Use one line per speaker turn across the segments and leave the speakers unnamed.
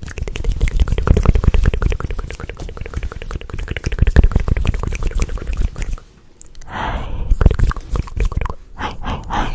Hi. Hi, hi, hi.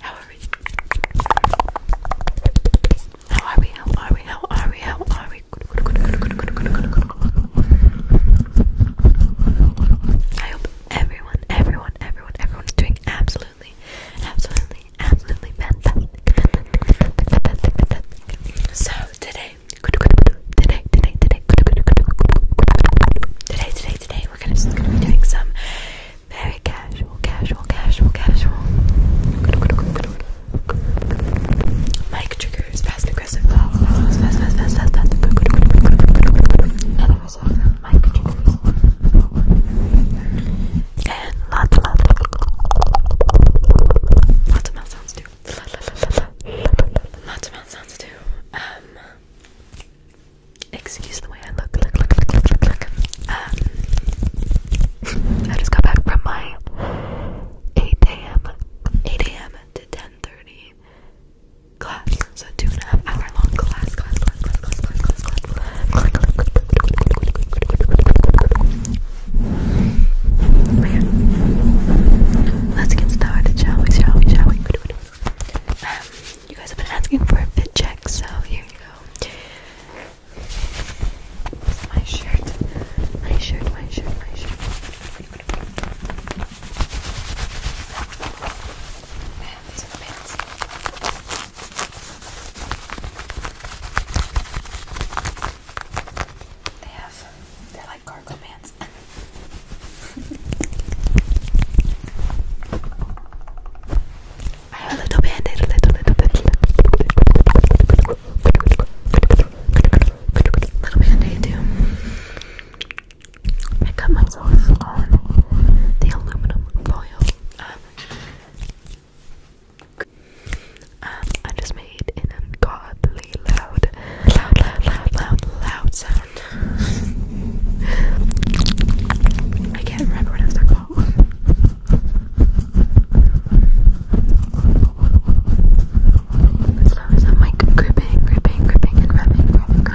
How are we? How are we? How are we? How are we? How are we? I hope Everyone, everyone, everyone, everyone's doing absolutely, absolutely, absolutely fantastic. Fantastic, fantastic, fantastic. So today, today, today, today, today, today, today, we're gonna just gonna be doing some very casual, casual, casual, casual. Mic triggers, fast, aggressive, fast, fast, fast, fast, fast, fast because of And lots, lots, lots of mouth sounds too. Lots of mouth sounds too. Um, excuse the way I look. Look, look, look, look, look, look. Um, I just got back from my 8 a.m. 8 a.m. to 10:30 class. So two and a half hour long class, class, class, class, class, class, class, class, Let's get started, shall we, shall we, shall we? you guys have been asking for a fit check, so here you go. My shirt, my shirt, my shirt, my shirt. They have, they're like cargo pants. I have a little bandit, little, little, little, little, little, too. I cut myself on the aluminum foil. Um, um I just made an ungodly loud, loud, loud, loud, loud, sound. I can't remember what it was called. As I'm like gripping, gripping, gripping, and rubbing,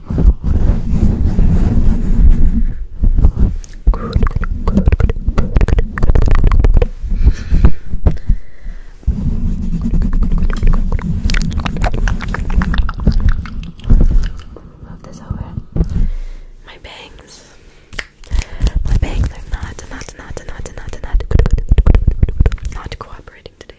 Good, good, Move this over. My bangs. My bangs are not, not, not, not, not, not, not cooperating today.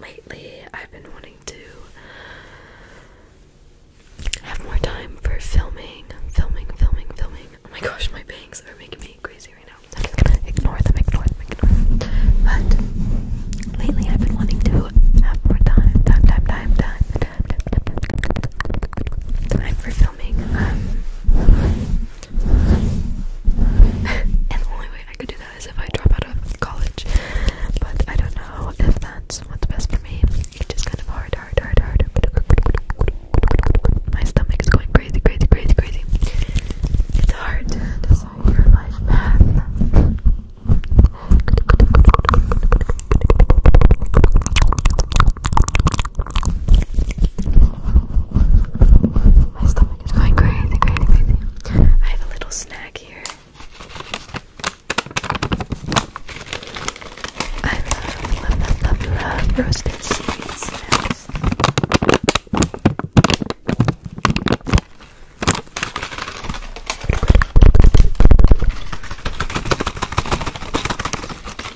Lately, I've been wanting to have more time for filming, filming, filming, filming. Oh my gosh, my bangs are making me crazy right now. I'm just gonna ignore them, ignore them, ignore them. But lately, I've been wanting to have more time, time, time, time, time, time for filming. Um, and the only way I could do that is if I drop out of college. But I don't know if that's what's best for me. It's just kind of hard, hard, hard, hard. My stomach is going crazy, crazy, crazy, crazy. It's hard to decide your life path. My stomach is going crazy, crazy, crazy. I have a little snack here. I love, love, love, love, love roasted sweet snacks.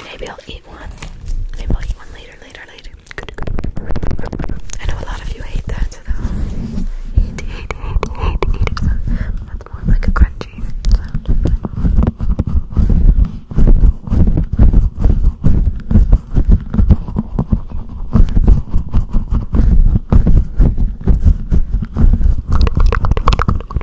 Maybe I'll eat one. Maybe I'll eat one later, later, later. I know a lot of you hate that, so that'll eat, eat, eat, that's more like a crunchy sound. Okay,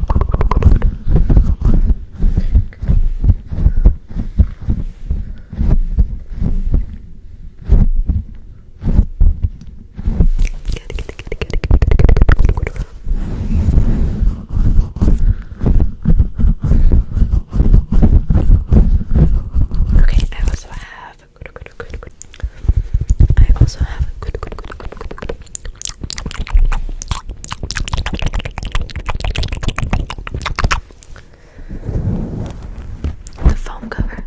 I also have I also have a good, good, good, good, good, good. The foam cover.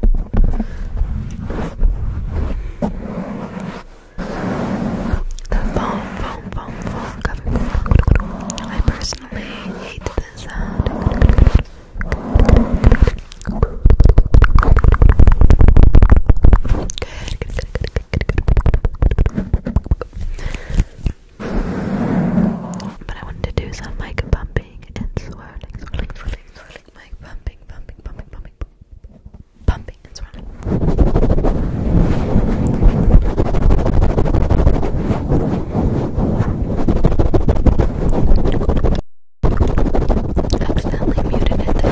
The foam, foam, foam, foam cover. I personally hate this sound. But I wanted to do some mic bumping and swirling, swirling, swirling, mic bumping, bumping, bumping, bumping, bumping, and swirling. Accidentally muted it.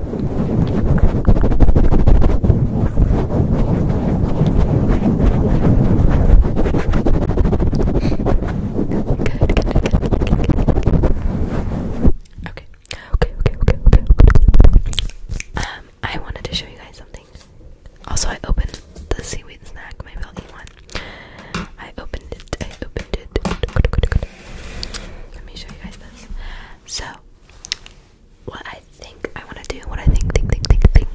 Okay. Okay, okay, okay, okay. Um, I wanted to show you guys something. Also, I opened the seaweed snack. My i one. I opened it. I opened let me show you guys this. So, what I think I want to do, what I think, think, think, think, think,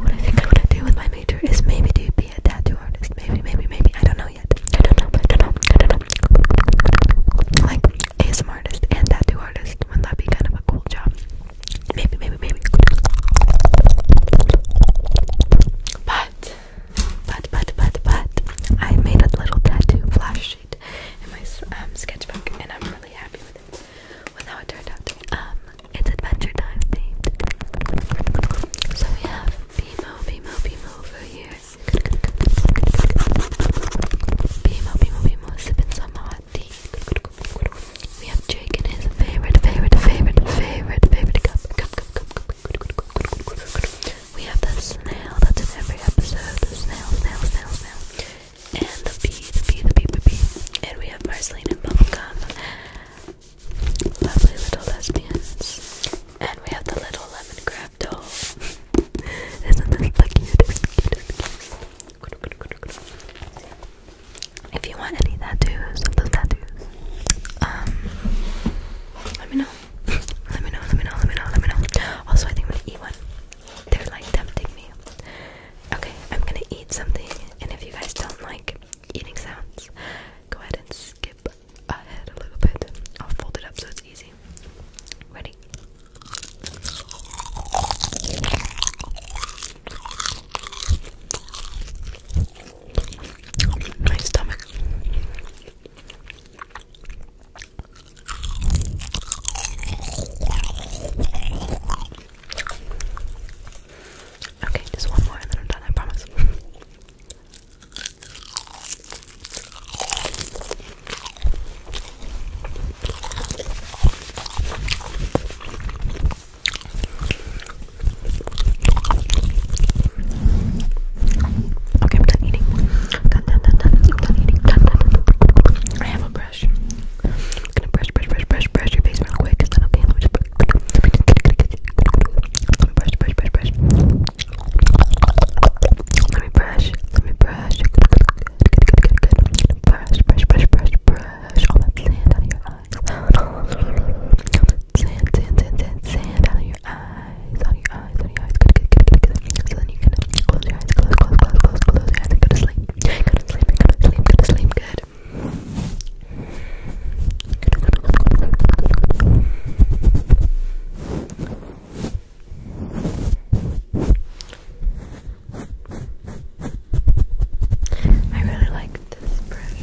what I think I want to do with my major is maybe do be a tattoo artist. Maybe, maybe, maybe. I don't know yet. I don't know. I don't know. I don't know. Like ASM artist and tattoo artist. Wouldn't that be kind of a cool job? Maybe, maybe, maybe. But but, but, but, but, I made a little tattoo flash sheet in my um, sketchbook, and I'm really happy with it. With how it turned out to be. Um, it's adventure time themed. So we have Bimo, Bimo, Bimo over here. Bimo, Bimo, Bimo, sipping some hot tea. We have Jake in his favorite, favorite, favorite, favorite, favorite cup. Cup, cup, cup, cup. We have the snail that's in every episode. The snail, snail, snail, snail. And the bee, the bee, the bee, the bee. And we have Marceline and Bubblegum. Lovely little lesbians. And we have the little lemon crab doll. Isn't this the cutest, If you want any tattoos of those tattoos, um, let me know. Let me know, let me know, let me know, let me know. Also, I think I'm gonna eat one. They're like tempting me. Okay, I'm gonna eat something, and if you guys don't like eating sounds, go ahead and skip ahead a little bit. I'll fold it up so it's easy. Ready? My stomach Okay, just one more and then I'm done, I promise. Okay, I'm done eating. Done, done, done, done. I'm done eating. Done, done, done. I have a brush. I'm gonna brush, brush, brush, brush, brush your face real quick. Is that okay? Let me just brush, brush, brush, brush, brush. Let me brush. Let me brush. Good, good, good, good, good, good. Brush, brush, brush, brush, brush. All that sand out of your eyes. Sand, sand, sand, sand, sand out of your your eyes, on your eyes, on your eyes. Good, good, good, good, good. So close your eyes, close, close, close, close, close your eyes and to sleep. Go to sleep, go to sleep, go to sleep, good. I really like this brush.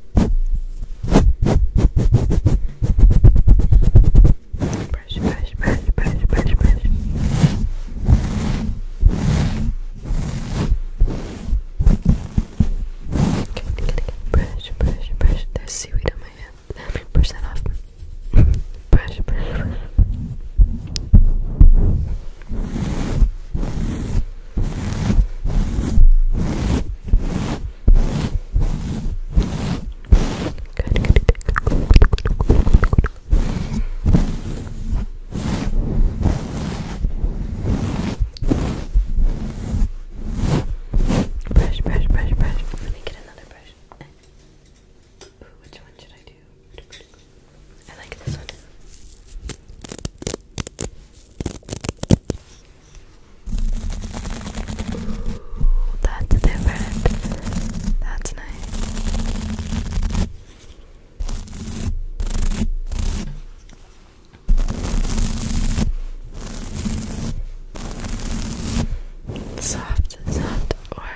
Brush, brush, brush, brush, brush, brush. Good, good, good. Brush, brush, brush. There's seaweed on my hand. Let me brush that off. brush, brush, brush. Brush, brush, brush, brush. Let me get another brush. which one should I do? I like this one. Ooh, that's different. That's nice. Soft, soft, or hard,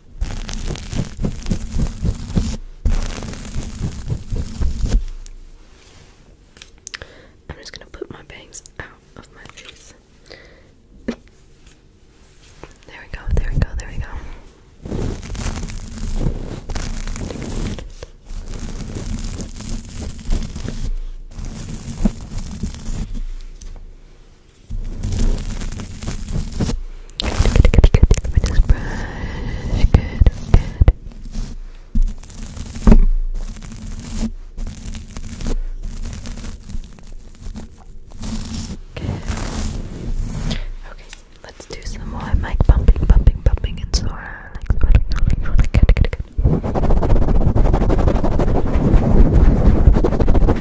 I'm just going to put my bangs out of my face. there we go, there we go, there we go. Let Okay, let's do some more mic bumping, bumping, bumping, and so on. Like, rolling,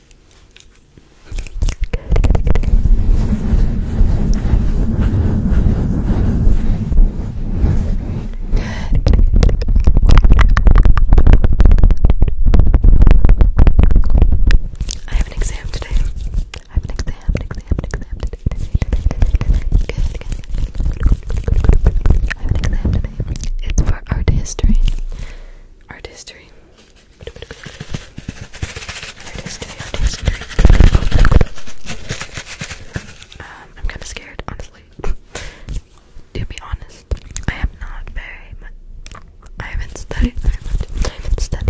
I have an exam today. I have an exam, an exam, exam I have an exam today. It's for art history. Art history. I'm kind of scared, honestly. to be honest, I am not very much. I haven't studied I haven't studied,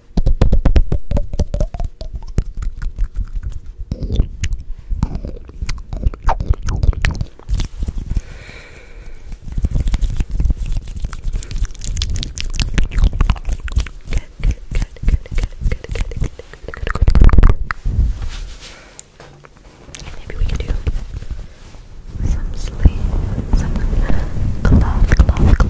Maybe we can do some sleep, some cloth, cloth, cloth,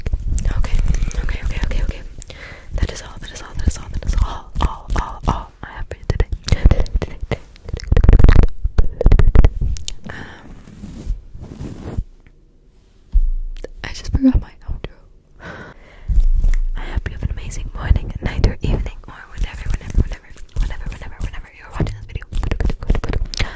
Okay, okay, okay, okay, okay. That is all, that is all, that is all, that is all, all, all, all I have for you today. today, today, today. Um, I just forgot my outro. I hope you have an amazing morning, night, or evening, or whenever, whenever, whenever, whenever, whenever, whenever you're watching this video.